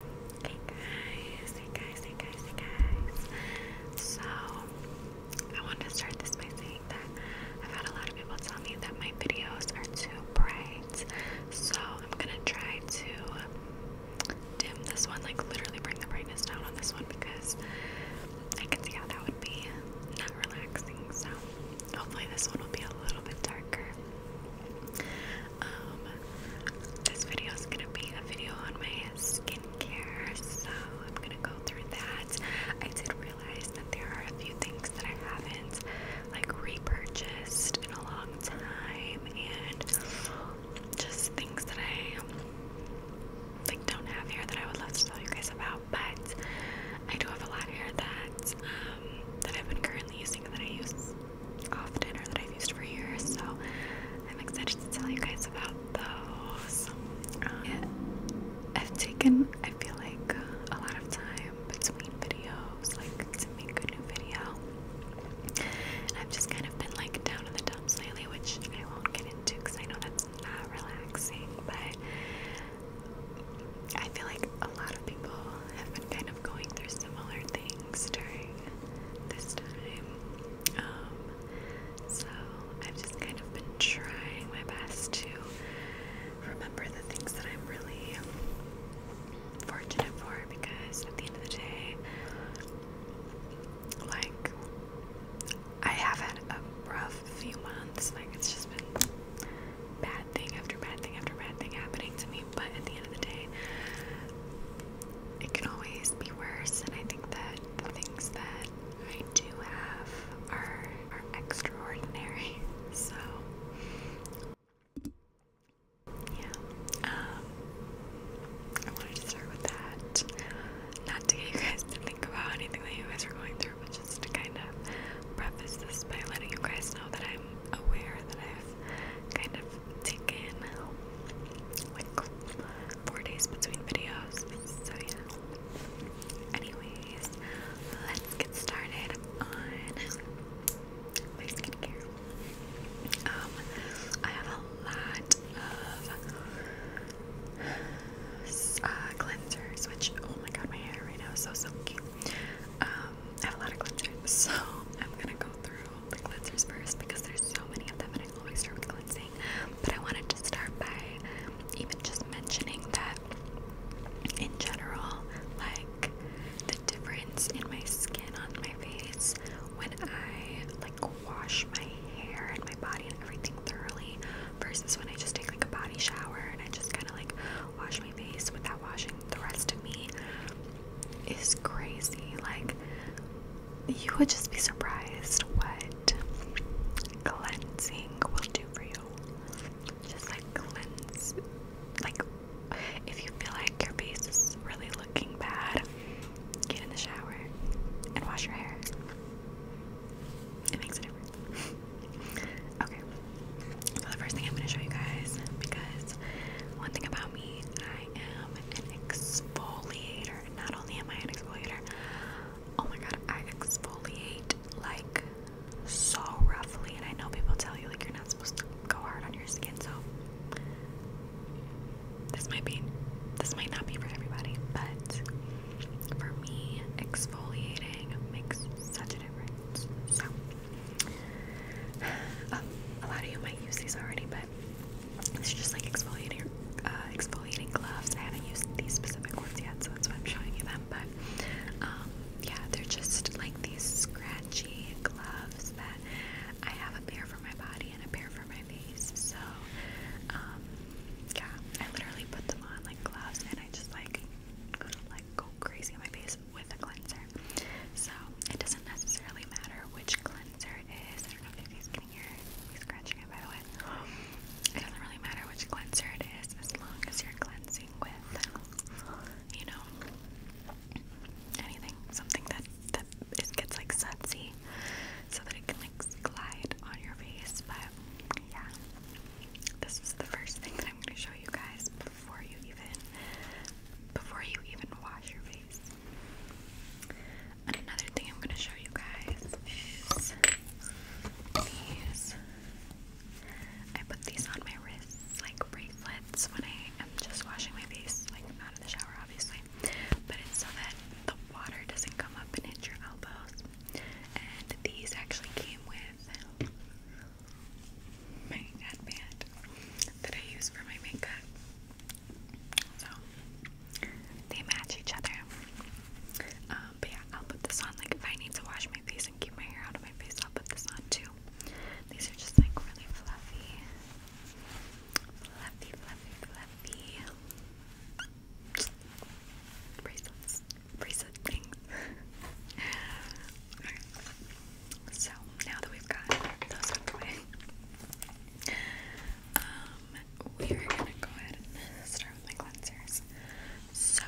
Hey guys, hey guys, hey guys, hey guys. So, I wanted to start this by saying that I've had a lot of people tell me that my videos are too bright. So, I'm gonna try to dim this one, like literally bring the brightness down on this one because I can see how that would be not relaxing. So, hopefully, this one will be a little bit darker. Um, this video is gonna be a video on my skincare, so I'm gonna go through that. I did realize that there are a few things that I haven't like repurchased in a long time, and just things that I like don't have here that I would love to tell you guys about. But I do have a lot here that um, that I've been currently using that I use off dinner that I've used for years. So I'm excited to tell you guys about those. Uh-huh. I've taken, I feel like, a lot of time between videos, like to make a new video. And I've just kind of been like down in the dumps lately, which I won't get into because I know that's not relaxing, but I feel like a lot of people have been kind of going through similar things during this time. Um, so I've just kind of been trying my best to remember the things that I'm really fortunate for because at the end of the day, like, I have had a rough few months. Like, it's just been bad thing after bad thing after bad thing happening to me. But at the end of the day, it can always be worse, and I think that the things that I do have are, are extraordinary. So, yeah, um, I wanted to start with that. Not to get you guys to think about anything that you guys are going through, but just to kind of preface this by letting you guys know that I'm aware that I've kind of taken like four days between videos, so yeah. Anyways, let's get started on my skincare. Um, I have a lot of uh, cleansers, which oh my god, my hair right now is so silky. Um, I have a lot of cleansers, so I'm gonna go through the cleansers first because there's so many of them and I always start with cleansing. But I wanted to start by even just mentioning that in general, like the difference in my skin on my face when I like wash my hair and my body and everything thoroughly versus when I just take like a body shower and I just kind of like wash my face without washing the rest of me is crazy. Like you would just be surprised what cleansing will do for you. Just like cleanse, like if you feel like your face is really looking bad, get in the shower and wash your hair. It makes a difference. okay, so the first thing I'm going to show you guys, because one thing about me, I am an exfoliator. Not only am I an exfoliator, oh my god, I exfoliate like so roughly. And I know people tell you like you're not supposed to go hard on your skin, so this might be this might not be for everybody, but for me, exfoliating makes such a difference. So, a lot of you might use these already, but these are just like exfoliating, uh, exfoliating gloves. I haven't used these specific ones yet, so that's why I'm showing you them. But um, yeah, they're just like these scratchy gloves that I have a pair for my body and a pair for my face. So um, yeah, I literally put them on like gloves, and I just like like go crazy on my face with a cleanser. So it doesn't necessarily matter which cleanser I don't It doesn't really matter which cleanser it is as long as you're cleansing with, you know, anything, something that, that it gets like sudsy so that it can like glide on your face. But yeah, this is the first thing that I'm going to show you guys before you even, before you even wash your face. And another thing I'm going to show you guys is these. I put these on my wrists like bracelets when I am just washing my face, like out of the shower, obviously. But it's so that the water doesn't come up and hit your elbows. And these actually came with my headband that I use for my makeup. So they match each other. Um, but yeah, I'll put this on. Like if I need to wash my face and keep my hair out of my face, I'll put this on too. These are just like really fluffy. Fluffy, fluffy, fluffy. Bracelets. Bracelet things. So now that we've got those out of the way, um, we are gonna go ahead and start with my cleansers. So,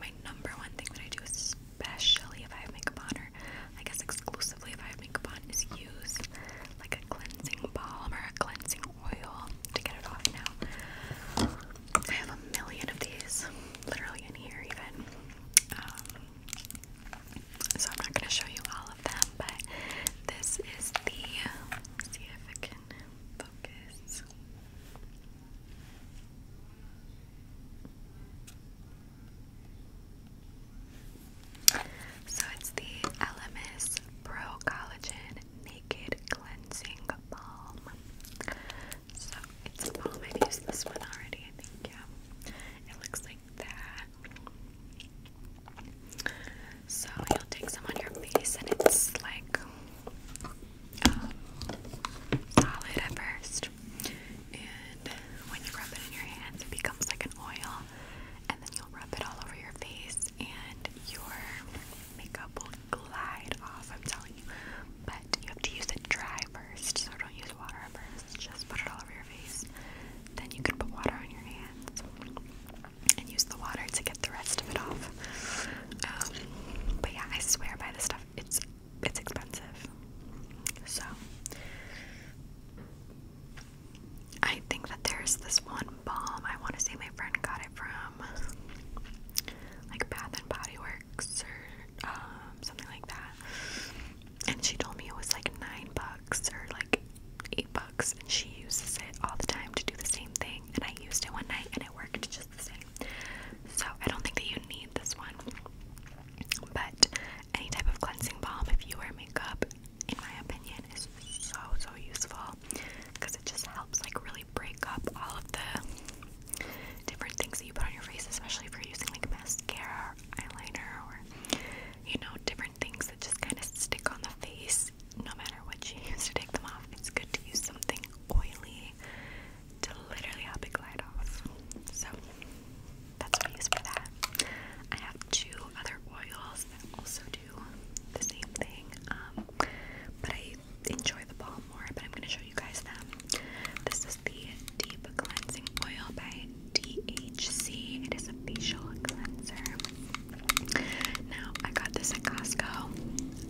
my number one thing that I do, especially if I have makeup on, or I guess exclusively if I have makeup on, is use like a cleansing balm or a cleansing oil to get it off now. I have a million of these, literally in here even. Um, so I'm not going to show you all of them, but this is the. see if I can focus. So it's the LMS Pro Collagen Naked Cleansing Balm. So it's a balm. I've used this one already, I think. Yeah, it looks that. So you'll take some on your face, and it's like um, solid at first. And when you rub it in your hands, it becomes like an oil, and then you'll rub it all over your face, and your makeup will glide off. I'm telling you, but you have to use it dry first, so don't use water at first. Just put it all over your then you can put water on your hands and use the water to get the rest of it off. Um, but yeah, I swear by this stuff. It's it's expensive, so I think that there's this one balm. I want to say my friend got it from like Bath and Body Works or um, something like that, and she told me it was like nine bucks or like eight and she uses it all the time to do the same thing and I used it one night and it worked just the same. So I don't think that you need this one. But any type of cleansing balm if you wear makeup in my opinion is so so useful because it just helps like really break up all of the different things that you put on your face, especially if you're using like mascara eyeliner or you know, different things that just kind of stick on the face no matter what you use to take them off. It's good to use something oily to literally help it glide off. So that's what I use for that. I have two other oils that also do the same thing, um, but I enjoy the balm more. But I'm going to show you guys them. This is the Deep Cleansing Oil by DHC. It is a facial cleanser. Now, I got this at Costco.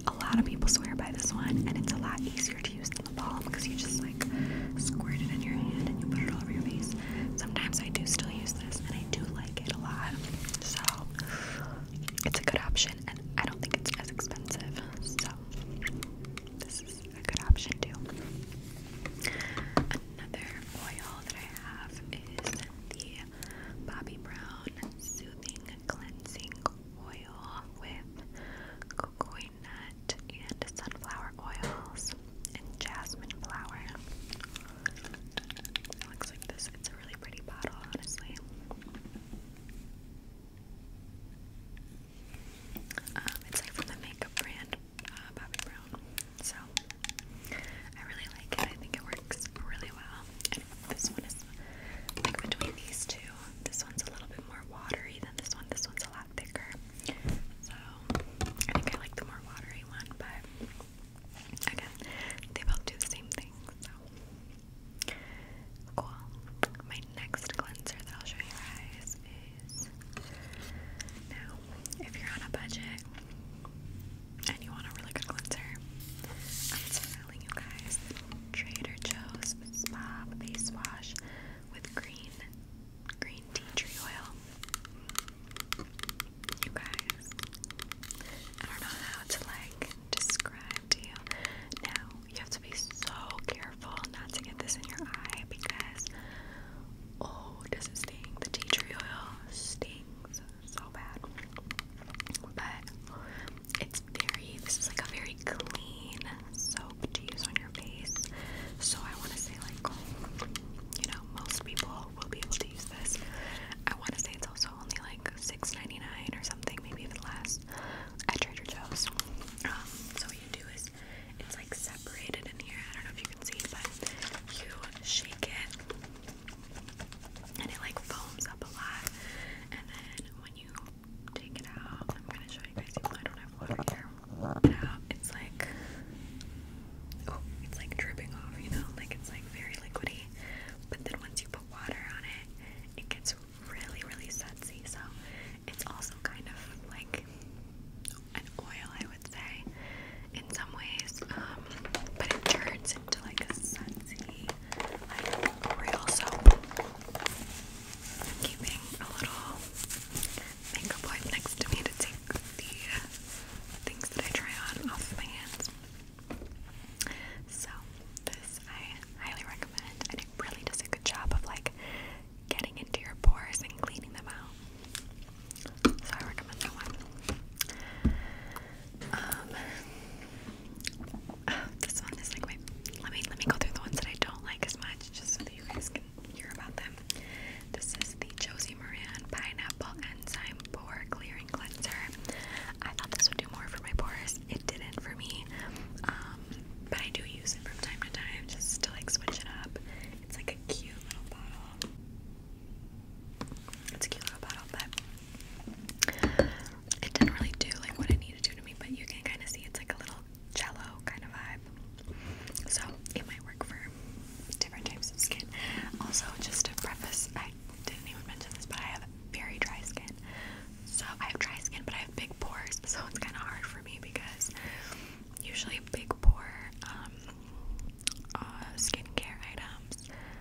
A lot of people swear by this one, and it's a lot easier to use than the balm because you just like squirt it in your hand and you put it all over your face. Sometimes I do still use this, and I do like it a lot. So, it's a good option, and I don't think it's as expensive. So, this is a good option too. Another oil that I have is the Bobbi Brown Soothing Cleansing Oil with coconut and sunflower oils and jasmine flower. It looks like this. It's a really pretty bottle, honestly. Um, it's like from the makeup brand uh, Bobbi Brown. So I really like it. I think it works really well. this one is like between these two. This one's a little bit more watery than this one. This one's a lot thicker. So I think I like the more watery one, but again, they both do the same thing. So cool. My next cleanser that I'll show you guys is now if you're on a budget and you want a really good cleanser, I'm telling you guys, Trader Joe's Spa Face Wash with green, green tea tree oil. You guys, I don't know how to like describe to you. Now, you have to be so careful not to get this in your eye because, oh, does it sting? The tea tree oil stings so bad. But it's very, this is like a very clean soap to use on your face. So I want to say, like, you know, most people will be able to use this. I want to say it's also only like six ninety nine or something, maybe even less, at Trader Joe's. Um, so what you do is, it's like separated in here. I don't know if you can see, but you shake it and it like foams up a lot. And then when you take it out, I'm gonna show you guys. Even though I don't have water here, it out, it's like oh, it's like dripping off. You know, like it's like very liquidy. But then once you put water on it, it gets really, really sudsy. So it's also kind of like an oil, I would say in some ways, um, but it turns into like a sunsy, like real soap. keeping a little makeup wipe next to me to take the things that I try on off my hands. So this I highly recommend, and it really does a good job of like getting into your pores and cleaning them out. So I recommend that one. Um, this one is like Let me let me go through the ones that I don't like as much, just so that you guys can hear about them. This is the Josie Moran Pineapple Enzyme Pore Clearing Cleanser. I thought this would do more for my pores. It didn't for me, um, but I do use it from time to time just to like switch it up. It's like a cute little bottle. It's a cute little bottle, but it didn't really do like what it needed to do to me, but you can kind of see it's like a little jello kind of vibe. So it might work for different types of skin. Also, just a preface, I didn't even mention this, but I have very dry skin. So I have dry skin, but I have big pores, so it's kind of hard for me because usually big pore um, uh, skincare items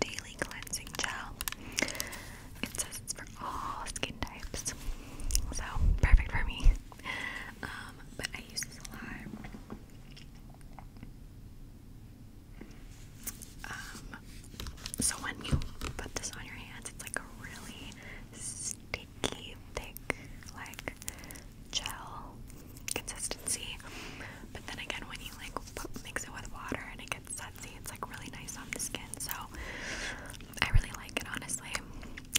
Daily Cleansing Gel. It says it's for all skin types, so perfect for me. Um, but I use this a lot. Um, so when you put this on your hands, it's like a really sticky, thick, like gel consistency. But then again, when you like mix it with water and it it's sudsy. It's like really nice on the skin, so I really like it. Honestly,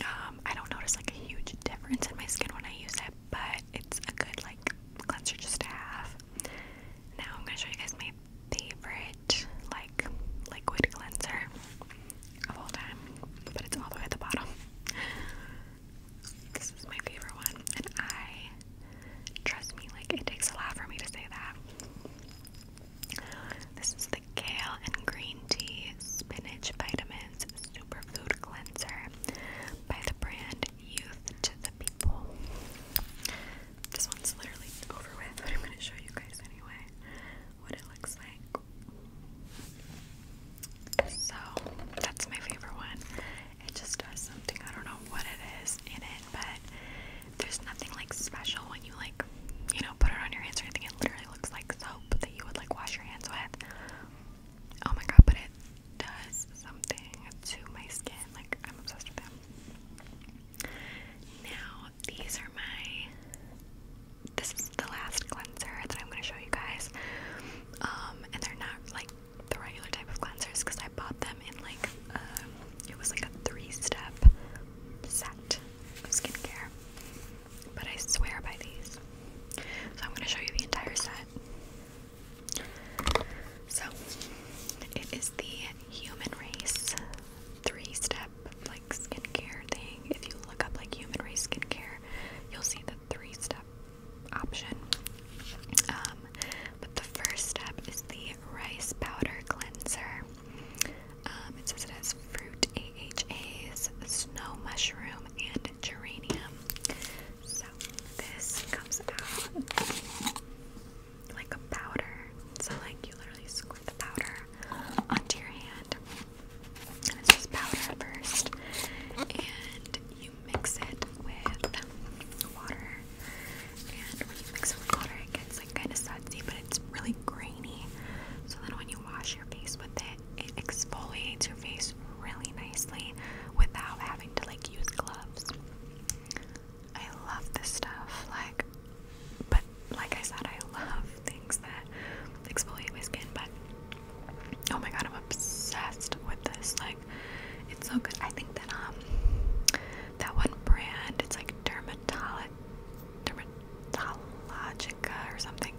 um, I don't notice like a huge difference in my skin when I use it, but it's a good like cleanser just to have. Now I'm gonna show you guys my favorite like liquid cleanser of all time, but it's all the way at the bottom. This is my favorite one, and I Trust me, like it takes a lot for me to say that. This is the kale and green tea spinach vitamins superfood cleanser by the brand Youth to the People. This one's literally over with, but I'm going to show you guys anyway what it looks like. So that's my favorite one. It just does something. I don't know what it is in it, but there's nothing like special when you like, you know, put it on your hands or anything. It literally looks like soap that you would like wash your hands with. Oh my god, but it does something to my skin. Like I'm obsessed with them. Now these are my. This is the last cleanser that I'm going to show you guys. Um, and they're not like the regular type of cleansers because I bought them in like it was like a three-step set of skincare. But I swear by these. So I'm going to show you the entire set. So it is the Human Race three-step like skincare thing. If you look up like Human Race skincare, you'll see the three-step option. Um, but the first step is the rice powder cleanser. Um, it says it has fruit AHAs, snow mushroom, and geranium. So this comes out like a powder. So like you literally squirt the powder onto your hand. And it's just powder first. And you mix it with water and when you mix with water, it gets like kind of sudsy, but it's really grainy. So then when you wash your face with it, it exfoliates your face really nicely without having to like use gloves. I love this stuff, like, but like I said, I love things that exfoliate my skin, but oh my god, I'm obsessed with this. Like, it's so good. I think that um that one brand it's like dermatologic dermatologica or something.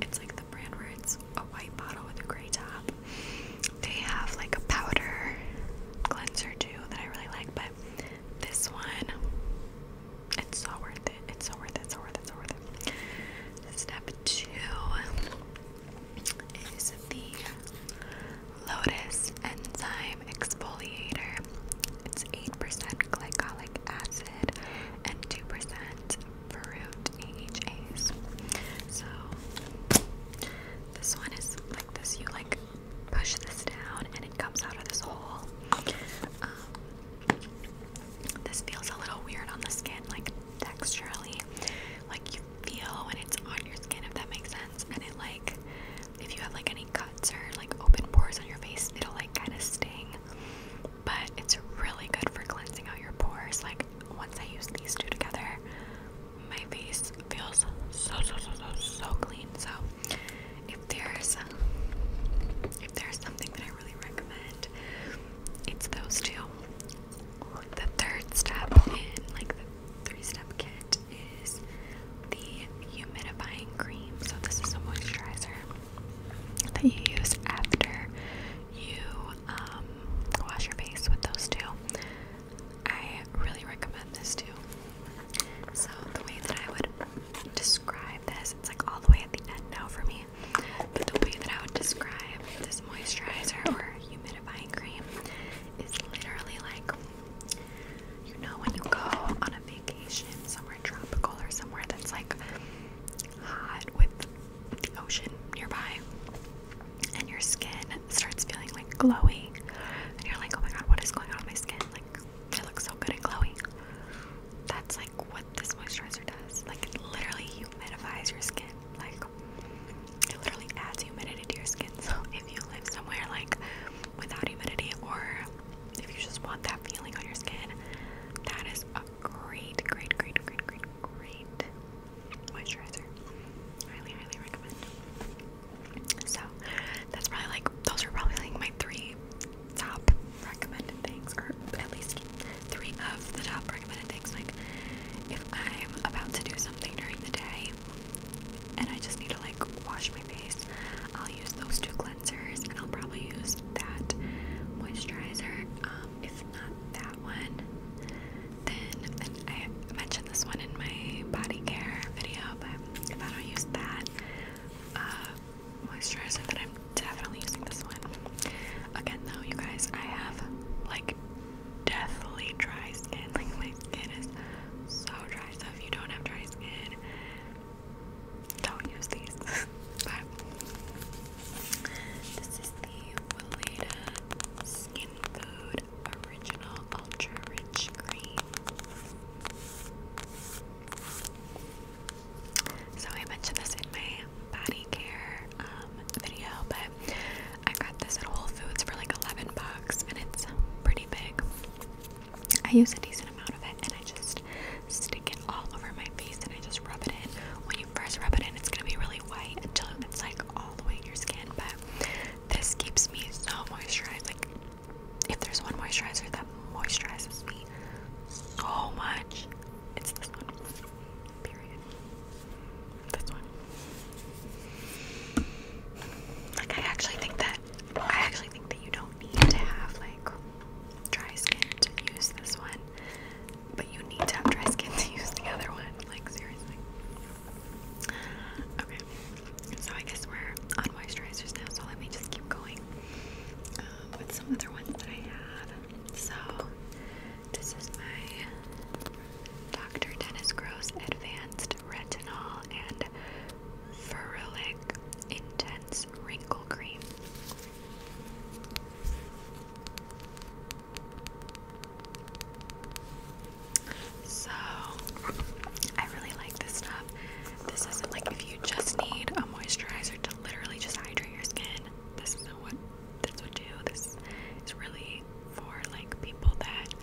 It's like the brand where it's a white bottle with a gray top. They have like a powder cleanser too that I really like, but this one it's so worth it. It's so worth it. It's so worth it. It's so worth it. Step two is the Lotus Enzyme Exfoliator. It's 8% glycolic acid and 2% ferulic AHAs. So this one is like this. You like push this down and it comes out of this hole. Um, this feels a little weird on the skin, like texturally. Like you feel when it's on your skin, if that makes sense. And it like, if you have like any cuts or like open pores on your face, it'll like kind of sting. But it's really good for cleansing out your pores. Like once I use these two together, my face feels so so so so so clean. So if there's if there's something that I really recommend, it's those two. The third step in like the three step kit is the humidifying cream. So, this is a moisturizer that you use after you um, wash your face with those two. I really recommend this too. So, the way that I would describe this, it's like all the way at the end now for me, but the way that I would describe this moisturizer or humidifying cream is literally like you know when you go on a vacation somewhere tropical or somewhere that's like hot with the ocean nearby and your skin starts feeling like glowy and you're like oh my god what is going on with my skin like it looks so good and glowy that's like what this moisturizer does like it literally humidifies your skin like it literally adds humidity to your skin so it if you live somewhere like without humidity or if you just want that feeling on your skin, that is a great, great, great, great, great, great moisturizer. Highly, highly recommend. So that's probably like those are probably like my three top recommended things, or at least three of the top recommended things. Like if I'm about to do something during the day and I just need to like wash my face, I'll use those two cleansers and I'll probably use that moisturizer. Um, if not that one, then and I mentioned this one in my body care video, but if I don't use that uh, moisturizer, then I'm definitely using this one. Again, though, you guys, I have like deathly dry skin. Like my skin is so dry so if you don't have dry skin don't use these but this is the Weleda Skin Food Original Ultra Rich Cream so I mentioned this in my body care um, video but I got this at Whole Foods for like 11 bucks and it's pretty big I use a decent amount of it and I just stick it all over my face and I just rub it in. When you first rub it in, it's gonna be really white until it's like all the way in your skin, but this keeps me so moisturized. Like, if there's one moisturizer that moisturizes me so much, it's this one. Period. This one. Like, I actually think that I actually think that you don't need to have like dry skin to use this one, but you need to have dry skin to use the other one. Like, seriously. Okay, so I guess we're on moisturizers now, so let me just keep going um, with some other ones that I have. So, this is my Dr. Dennis Gross Advanced retinol and ferulic intense wrinkle cream. So I really like this stuff. This isn't like if you just need a moisturizer to literally just hydrate your skin. This is what this would do. This is really for like people that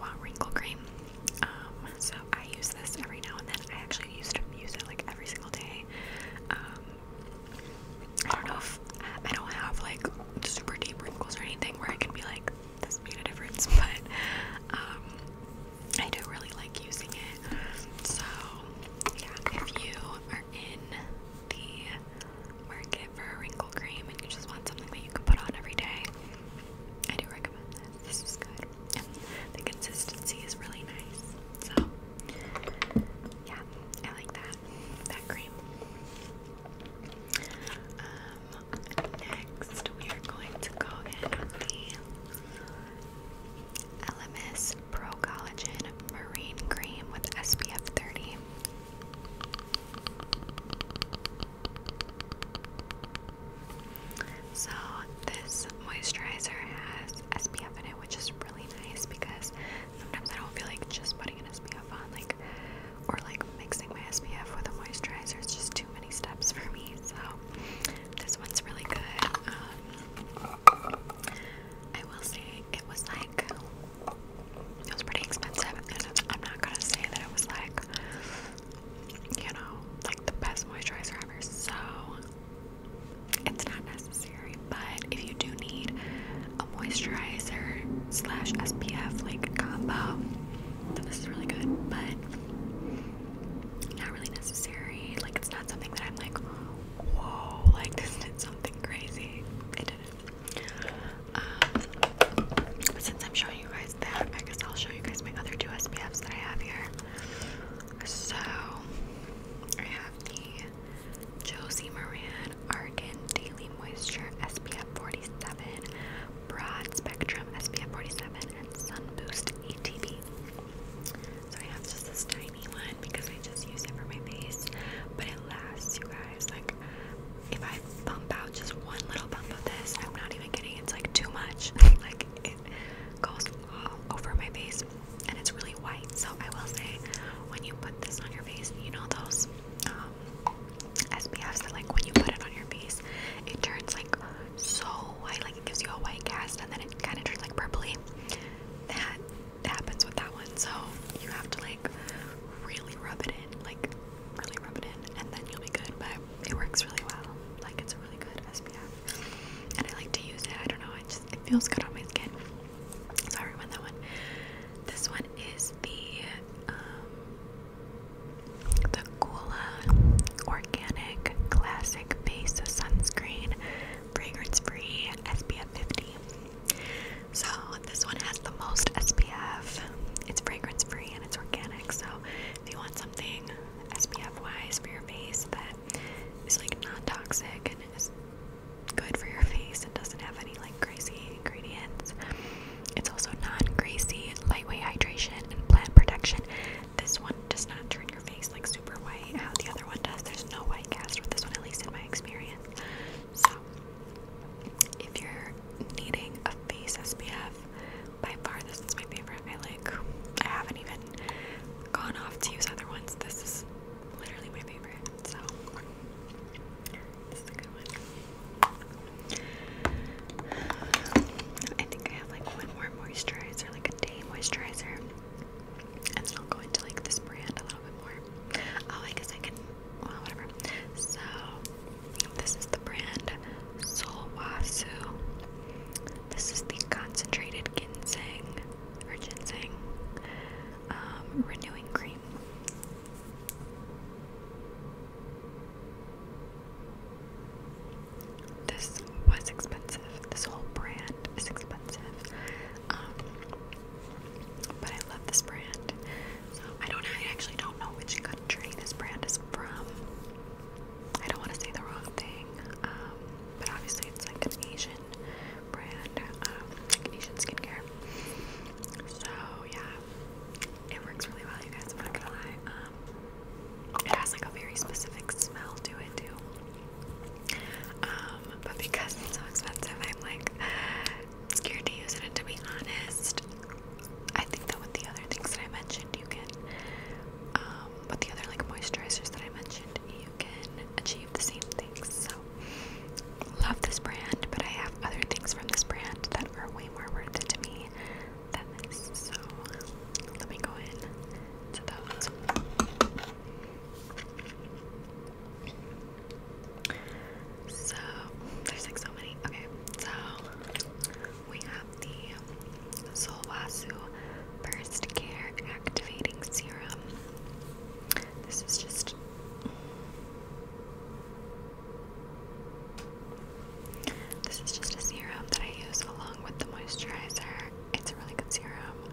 well, wrinkle cream. Um, so I use this every now and then. I actually used to use it like every single day. Um, I don't know if I don't have like super deep wrinkles or anything where I can be like, this made a difference, but um, I do really like using it. So, yeah, if you are in the market for a wrinkle cream and you just want something that you can put on every day, I do recommend this is good. the consistency is really nice. So, yeah, I like that. That cream. Um, next, we are going to go in with the LMS Pro Collagen Marine Cream with SPF 30. So this moisturizer has SPF in it, which is really nice because sometimes I don't feel like just putting an SPF on, like or like mixing my SPF with a moisturizer. It's just too many steps for me. So this one's really good. Um, I will say it was like it was pretty expensive. I'm not gonna say that it was like you know, like the best moisturizer ever. So it's not necessary, but if you do need a moisturizer slash SPF like combo, then this is really good, but not really necessary. Like it's not something that I'm like, whoa, like this did something crazy. It didn't. but um, since I'm showing you guys I guess I'll show you guys my other two SPFs that I have here. So I have the Josie Moran Argan Daily Moisture SPF 47, Broad Spectrum SPF 47, and Sunboost ETB. So I have just this tiny one because I just use it for my face, but it lasts, you guys. Like, if I bump out just one little bump of this. I'm not even kidding. It's like too much. like it goes all over my face and it's really white. So I will say when you put this on your face, you know those um SPFs that like when you put it on your face, it turns like so white, like it gives you a white cast and then it kind of turns like purpley. That happens with that one. So you have to like really rub it in. Like really rub it in and then you'll be good but it works really well like it's a really good SPF and I like to use it I don't know it just it feels good on my skin so I that one this one is the um, the Gula organic classic base sunscreen fragrance free SPF 50 so this one has the most SPF it's fragrance free and it's organic so if you want something SPF wise for your face that is like non toxic and is good for your face and doesn't have any like crazy ingredients. It's also non-greasy, lightweight hydration and plant protection. This one does not turn your face like super white how the other one does. There's no white cast with this one, at least in my experience. So if you're needing a face SPF by far, this is my favorite. I like. I haven't even gone off to use other ones. This is literally my favorite. So this is a good one. I think I have like one more moisturizer, like a day moisturizer, and then I'll go into like this brand a little bit more. Oh, I guess I can. Well, whatever. So this is the brand solwasu. This is the concentrated ginseng or ginseng um, renewing cream. This was expensive. This whole brand is expensive. Um, but I love this brand. I don't actually don't know which country this brand is from. I don't want to say the wrong thing, um, but obviously it's like an Asian brand, um, Asian skincare. So yeah, it works really well, you guys. I'm not gonna lie. Um, it has like a very specific smell to it too. Um, but because it's so expensive, I'm like scared to use it. And to be honest, I think that with the other things that I mentioned, you can um, the other like moisturizers that I mentioned, you can achieve the same things. So love this brand, but I have other things from this brand that are way more worth it to me than this. So let me go in to those. So there's like so many. Okay, so we have the Solvasu Burst Care Activating Serum. This is just. This is just a serum that I use along with the moisturizer. It's a really good serum.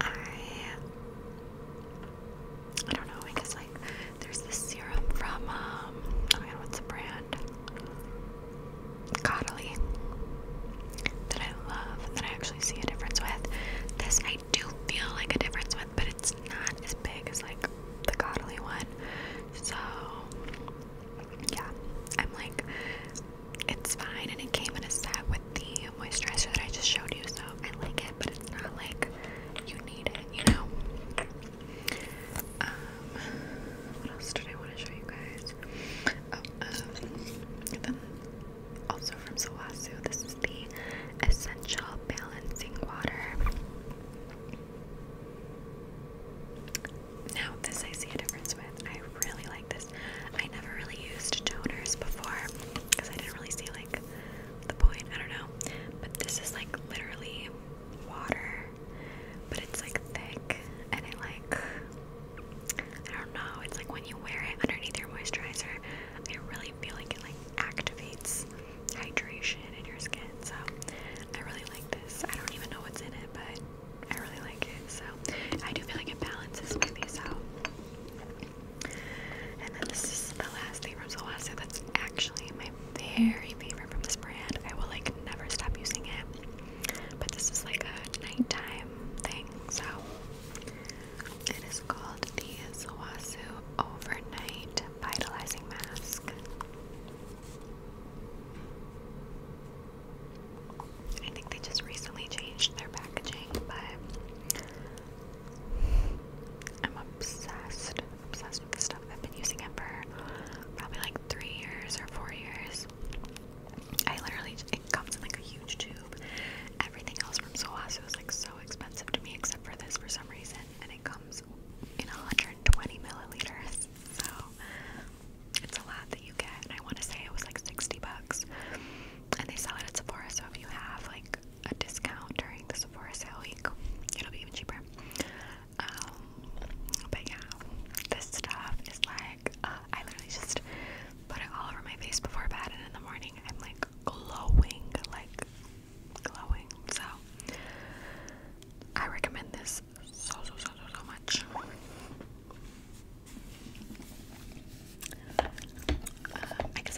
I I don't know because like there's this serum from um I oh don't what's the brand and that I love, that I actually see a difference with. This I do feel like a difference with, but it's not as big as like the coddly one. So yeah, I'm like, it's fine, and it came in a set with the moisturizer that I just showed you, so I like it, but it's not like you need it, you know. Um, what else did I want to show you guys? Oh, um, also from Zawasu, this is the essential balancing water. Now, this I see a difference with. I really like this. I never really used toners before because I didn't really see like the point. I don't know. But this is like literally water but it's like thick and it like I don't know, it's like when you wear it underneath your moisturizer, I really feel like it like activates hydration in your skin. So I really like this. I don't even know what's in it, but I really like it. So I do feel like it balances smoothies out. And then this is the last thing from Solasta that's actually my very favorite from this brand. I will like never stop using it. But this is like a nighttime thing, so it is called the Zawasu Overnight Vitalizing Mask. I think they just recently changed their packaging, but I'm obsessed, obsessed with the stuff. I've been using it for probably like three years or four years. I literally, it comes in like a huge tube. Everything else from Soasu is like so expensive to me, except for this for some reason, and it comes in 120 milliliters. So it's a lot that you get, and I want to say it was like 60 bucks. And they sell it at Sephora, so if you have like a discount during the Sephora sale week, it'll be even cheaper. Um, but yeah, this stuff is like uh, I literally just put it all over my face before bed, and in the morning I'm like glowing, like glowing. So I recommend this so so so so so much. Um,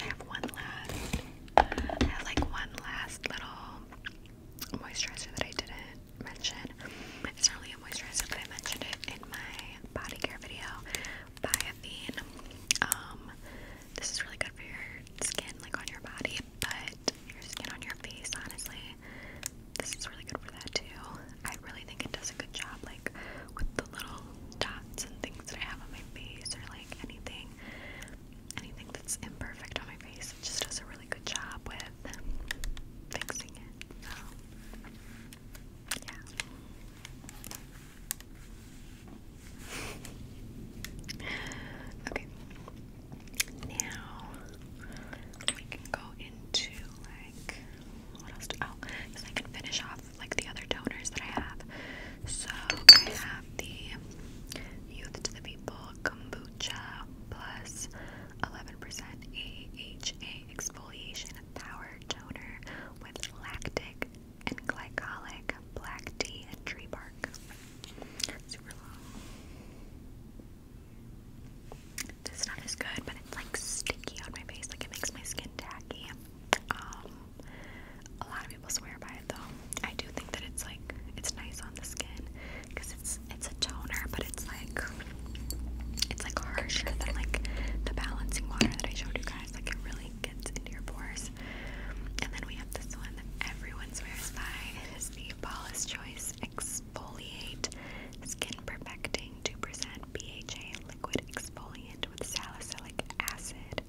I have one last. I have like one last little moisturizer that I didn't mention. It's not really a moisturizer, but I mentioned it in my body care video. Biafine. Um, this is really good for your skin, like on your body, but your skin on your face, honestly. This is really good for that too. I really think it does a good job, like with the little dots and things that I have on my face, or like anything, anything that's imperfect on my face. It just does a really really good job with fixing it. okay. Now we can go into like what else? oh, because I can finish off like the other donors that I have. So I have the Youth to the People kombucha plus 11% AHA exfoliation power toner with lactic and glycolic black tea and tree bark. Super long. This stuff is good, but it's like sticky on my face, like it makes my skin tacky. Um, a lot of people swear by it though. I do think that it's like it's nice on the skin because it's it's a toner, but it's like it's like harsher than like the balancing water that I showed you guys. Like it really gets into your pores. And then we have this one that everyone swears by. It is the Paula's Choice Exfoliate Skin Perfecting 2% BHA Liquid Exfoliant with Salicylic Acid.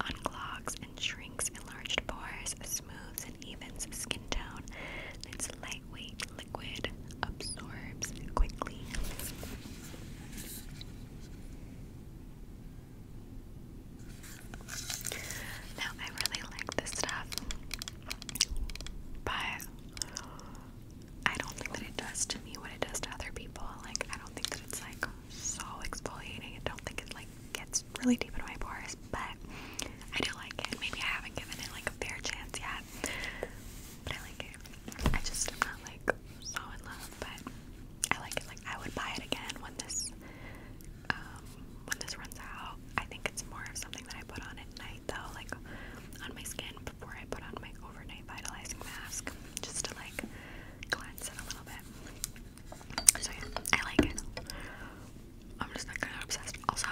Unclogs and shrinks enlarged pores, smooths and evens skin tone. It's lightweight liquid absorbs quickly. Now, I really like this stuff, but I don't think that it does to me what it does to other people. Like, I don't think that it's like so exfoliating. I don't think it like gets really deep in my pores, but I do like it. Maybe I haven't given it like a fair chance yet. I like it. I just am not like so in love, but I like it. Like I would buy it again when this um, when this runs out. I think it's more of something that I put on at night though, like on my skin before I put on my overnight vitalizing mask, just to like cleanse it a little bit. So yeah, I like it. I'm just like kind of obsessed. Also,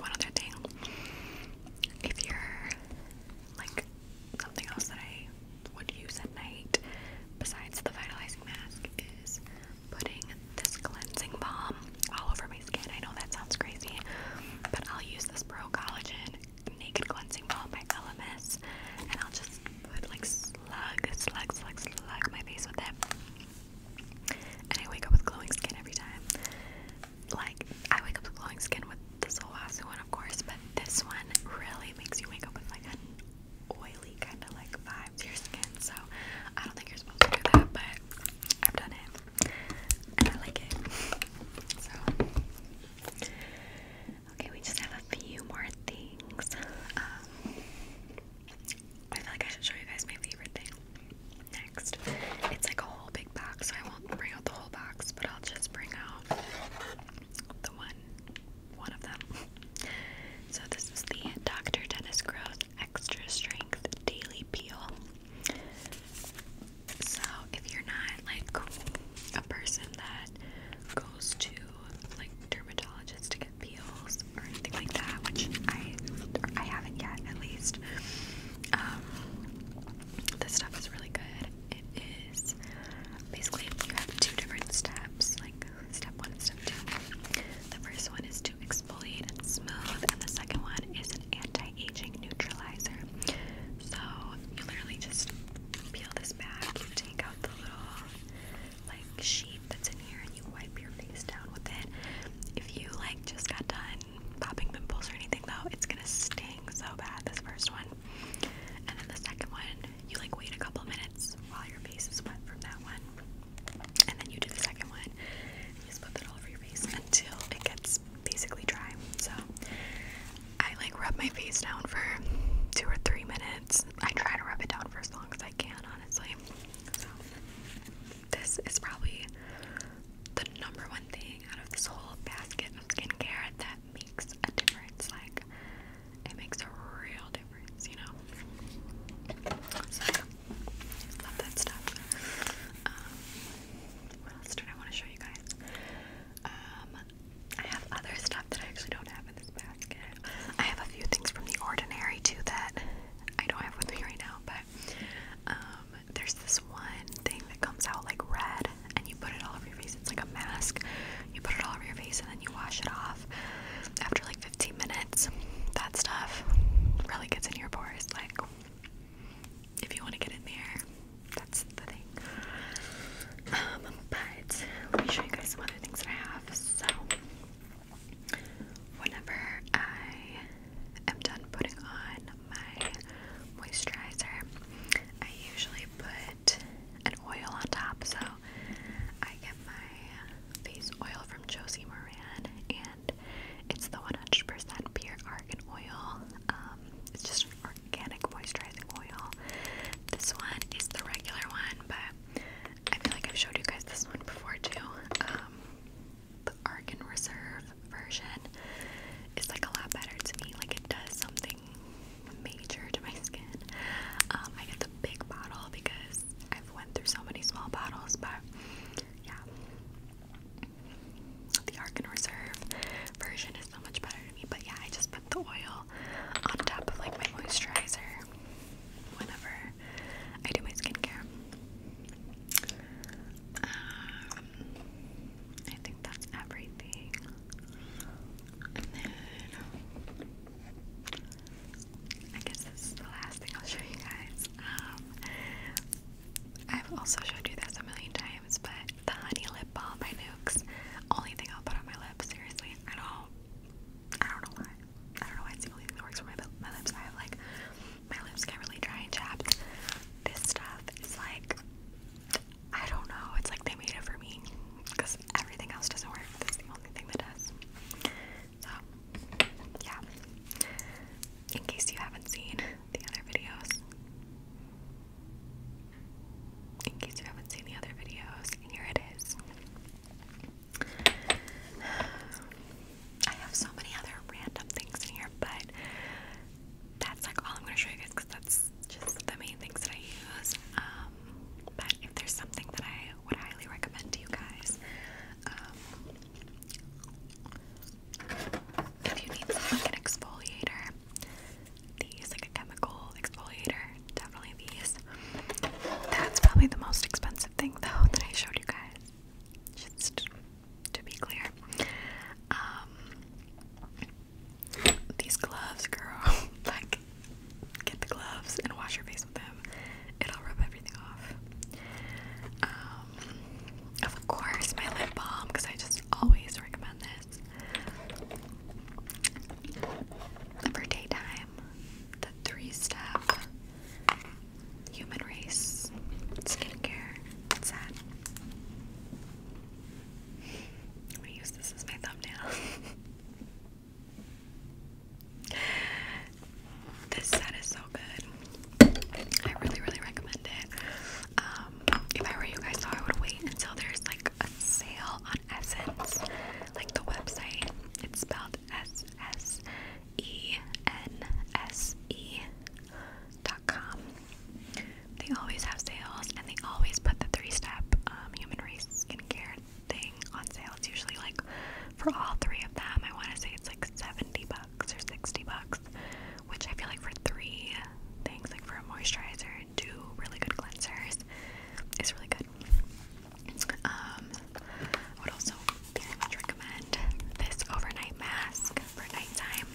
one other thing. If you're like something else that I would use at night besides the vitalizing mask is putting this cleansing balm all over my skin. I know that sounds crazy, but I'll use this Pro Collagen Naked Cleansing Balm by LMS and I'll just put like slug, slug, slug, slug my face with it. And I wake up with glowing skin every time like I wake up with glowing skin with the Solwasu one, of course, but this one really makes you wake up with like an oily kind of like vibe to your skin. So I don't think you're supposed to do that, but I've done it and I like it. So okay, we just have a few more things. Um, I feel like I should show you guys my favorite thing next. It's like a whole big box, so I won't bring out the whole box, but I'll just bring out the one, one of them. So this is the Dr. Dennis Gross Extra Strength Daily Peel. So if you're not like a person that goes to like dermatologists to get peels or anything like that, which I I haven't yet at least. Um, this stuff is really good. It is basically you have two different steps, like step one and step two. The first one is to exfoliate and smooth, and the second one is an anti-aging neutralizer. So you literally just peel this back, you take out the little like sheet that's in here, and you wipe your face down with it. If you like just got done popping pimples or anything though. It's gonna sting so bad, this first one. And then the second one, you like wait a couple minutes while your face is wet from that one. And then you do the second one. You just put it all over your face until it gets basically dry. So I like rub my face down for two or three minutes. I try to rub it down for as long as I can, honestly. So this is probably the number one thing out of this whole basket of skincare that makes a difference. Like, it makes a real difference, you know? love that stuff. Um, what else did I want to show you guys? Um, I have other stuff that I actually don't have in this basket. I have a few things from The Ordinary too that I don't have with me right now, but um, there's this one thing that comes out like red, and you put it all over your face. It's like a mask. You put it all over your face, and then you wash it off after like 15 minutes. That stuff really gets in your pores. Like, if you want to get in there, that's the thing. Um, but let me show you guys some other things that I have. So, whenever I am done putting on my moisturizer, I usually put an oil on top. So I get my face oil from Josie Moran, and it's the 100% pure argan oil. Um, it's just an organic moisturizing oil. This one is the regular one, but I feel like I've showed you guys this one before too. Um, the Argon Reserve version is like a lot better to me. Like it does something major to my skin. Um, I get the big bottle because I've went through so many small bottles, but yeah. The Argon Reserve version is so much better to me, but yeah, I just put the oil on top of like my moisturizer whenever I do my skincare. Um, I think that's everything. And then I guess this is the last thing I'll show you guys. Um, I've also showed you this a million times, but the honey lip balm by Nukes, only thing I'll put on my lips. Seriously, I don't, I don't know why. I don't know why it's the only thing that works for my lips. I have like my lips get really dry and chapped. This stuff is like I don't know. It's like they made it for me because everything else doesn't work. That's the only thing that does. So, yeah. In case you haven't seen the other videos, in case you haven't seen the other videos, here it is. I have so many other random things in here, but that's like all I'm gonna show you guys because that's just the main things that I use. Um, but if there's something that I would highly recommend to you guys, um, if you need like an exfoliator, these like a chemical exfoliator, definitely these. That's probably the most expensive thing though that I showed you guys. Just to be clear. Um, these gloves, girl, like, get the gloves and wash your face with them. It'll rub everything off. Um, of course, my lip balm, because I just always recommend this. For daytime, the three step human race skincare. It's I'm gonna use this as my thumbnail. this set is so good. I really, really recommend it. Um, if I were you guys, though, I would wait until there's like a sale on Essence, like the website. It's spelled S S E N S E Walmart.com. They always have sales and they always put the three step um, human race skincare thing on sale. It's usually like for all three of them, I want to say it's like 70 bucks or 60 bucks, which I feel like for three things, like for a moisturizer and two really good cleansers, is really good. Um, I would also very much recommend this overnight mask for nighttime.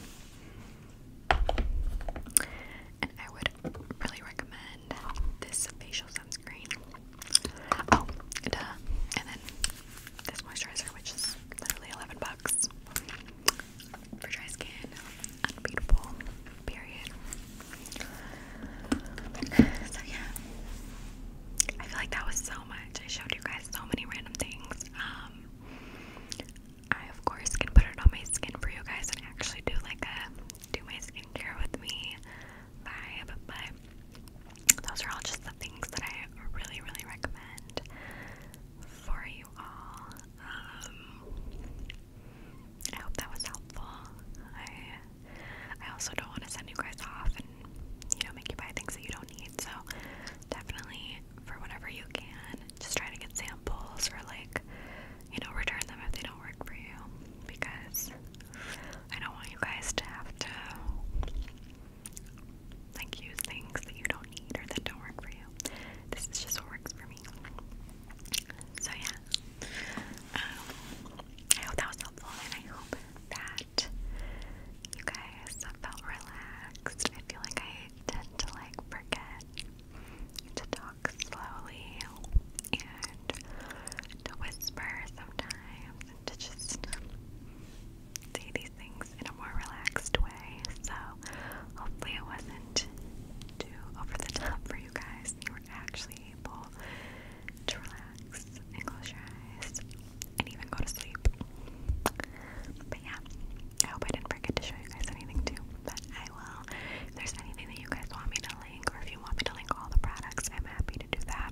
And I would really recommend this facial sunscreen. Oh, uh, And then this moisturizer, which is literally 11 bucks for dry skin. Unbeatable, period. So, yeah. I feel like that was so much. I showed you guys so many random things. Um, I of course can put it on my skin for you guys and actually do like a do my skincare with me vibe, but those are all just the things that I really, really recommend for you all. Um, I hope that was helpful. I I also don't want to send you guys off and you know make you buy things that you don't need. So definitely for whatever you can, just try to get samples or like, you know, return them if they don't work for you because I don't want you guys to have to like use things that you don't need or that don't work for you. This is just what works for me. So yeah. Um, I hope that was helpful and I hope that you guys felt relaxed. I feel like I tend to like forget to talk slowly and to whisper sometimes and to just say these things in a more relaxed way. So hopefully it wasn't too over the top for you guys. You were actually able to relax and close your eyes and even go to sleep. But yeah, I hope I didn't forget to show you guys anything too, but I will. If there's anything that you guys want me to link, or if you want me to link all the products, I'm happy to do that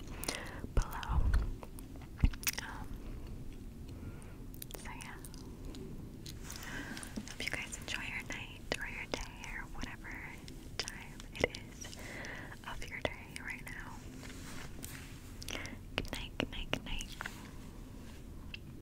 below. Um, so yeah. Hope you guys enjoy your night or your day or whatever time it is of your day right now. Good night, good night, good night.